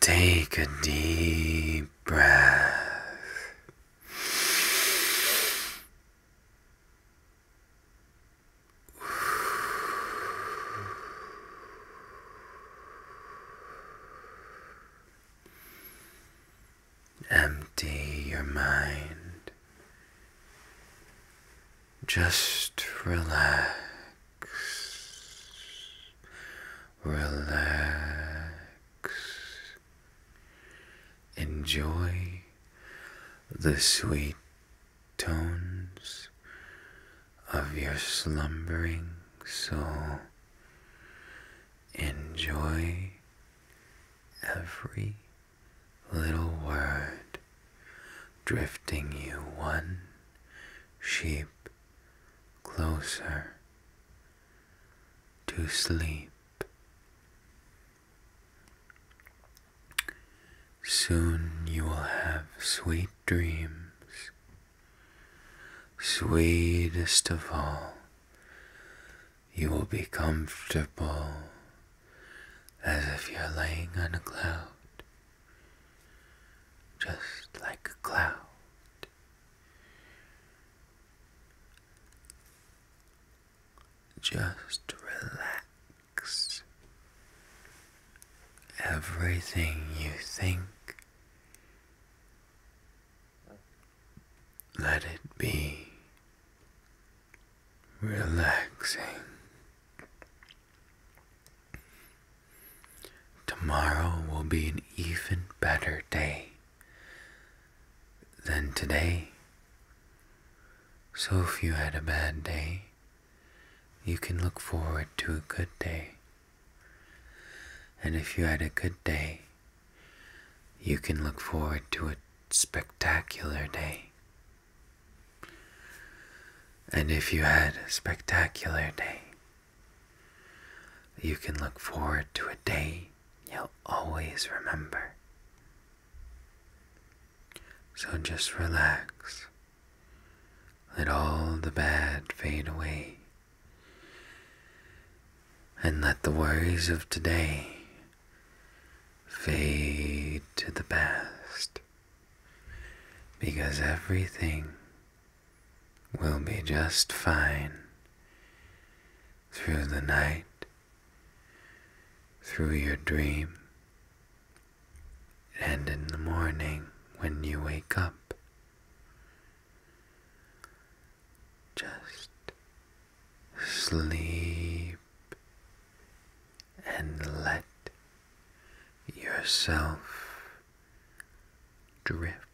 Take a deep breath. Empty your mind. Just relax. Relax. Enjoy the sweet tones of your slumbering soul. Enjoy every little word drifting you one sheep closer to sleep. Soon you will have sweet dreams, sweetest of all you will be comfortable as if you're laying on a cloud, just like a cloud. Just relax. Everything you think, let it be relaxing. Tomorrow will be an even better day than today. So if you had a bad day, you can look forward to a good day. And if you had a good day, you can look forward to a spectacular day. And if you had a spectacular day, you can look forward to a day you'll always remember. So just relax. Let all the bad fade away. And let the worries of today fade to the past because everything will be just fine through the night, through your dream, and in the morning when you wake up. Just sleep and let yourself drift.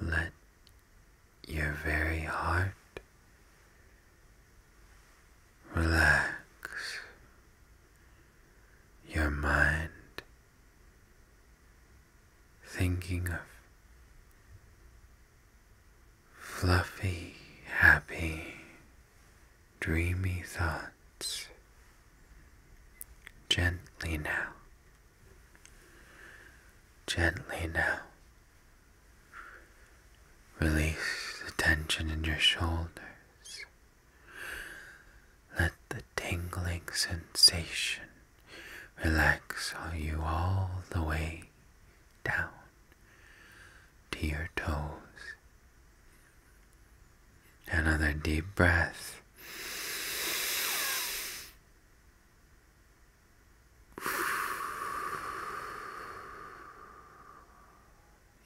Let your very heart relax, your mind thinking of fluffy, happy, dreamy thoughts gently now, gently now. Release the tension in your shoulders. Let the tingling sensation relax you all the way down to your toes. Another deep breath.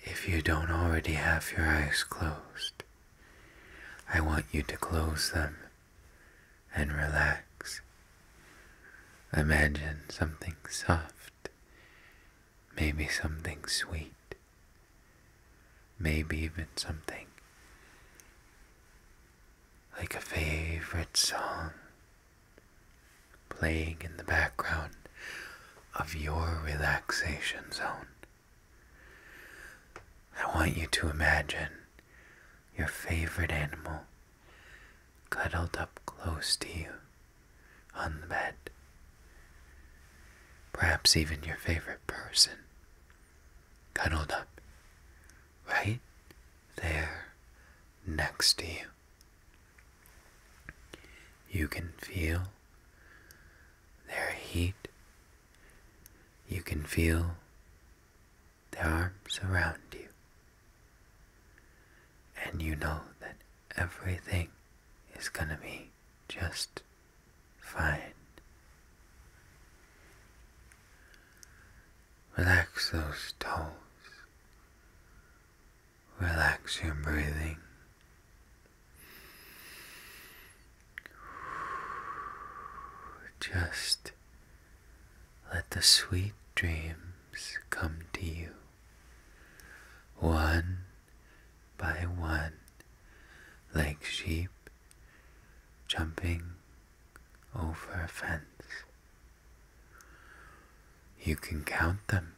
If you don't already have your eyes closed, I want you to close them and relax. Imagine something soft, maybe something sweet, maybe even something like a favorite song playing in the background of your relaxation zone. I want you to imagine your favorite animal cuddled up close to you on the bed. Perhaps even your favorite person cuddled up right there next to you. You can feel their heat. You can feel their arms around you. And you know that everything is going to be just fine. Relax those toes. Relax your breathing. Just let the sweet dreams come to you, one by one, like sheep jumping over a fence. You can count them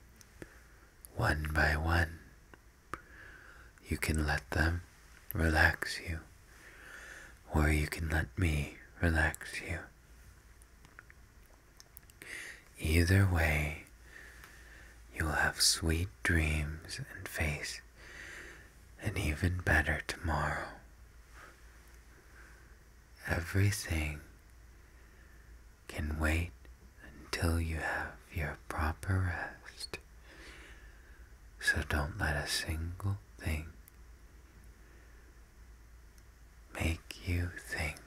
one by one. You can let them relax you, or you can let me relax you. Either way, you'll have sweet dreams and face an even better tomorrow. Everything can wait until you have your proper rest. So don't let a single thing make you think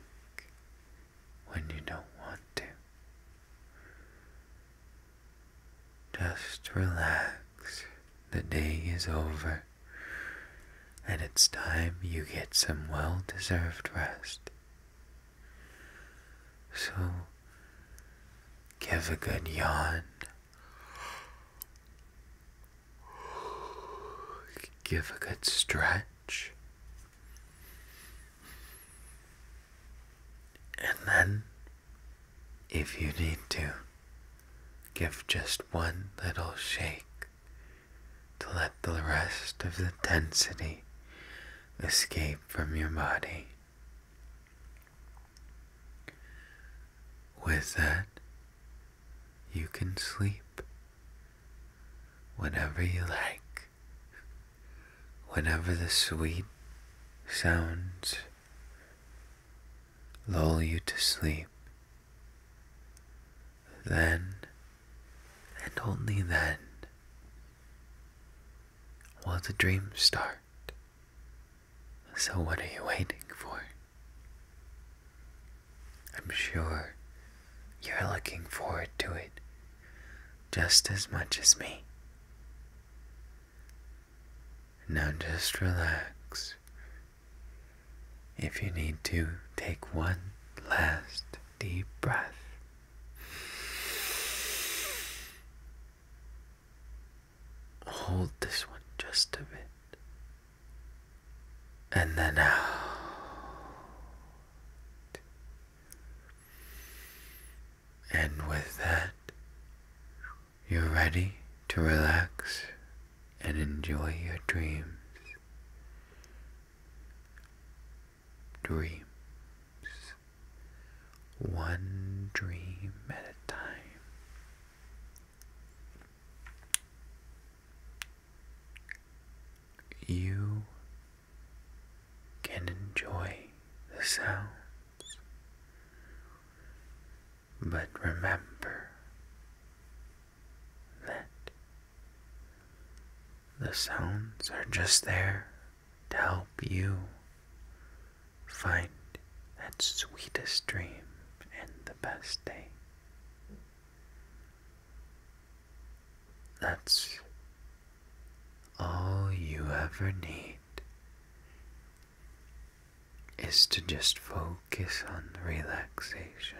when you don't want to. Just relax. The day is over and it's time you get some well-deserved rest. So give a good yawn Give a good stretch. And then, if you need to, give just one little shake to let the rest of the density escape from your body. With that, you can sleep whenever you like, whenever the sweet sounds lull you to sleep. Then, and only then, will the dreams start. So, what are you waiting for? I'm sure you're looking forward to it just as much as me. Now, just relax. If you need to, take one last deep breath. Hold this one just a bit. And then out. Uh, and with that, you're ready to relax and enjoy your dreams. Dreams one dream at a time. You can enjoy the sounds, but remember that the sounds are just there to help you find that sweetest dream and the best day. That's all you ever need is to just focus on relaxation.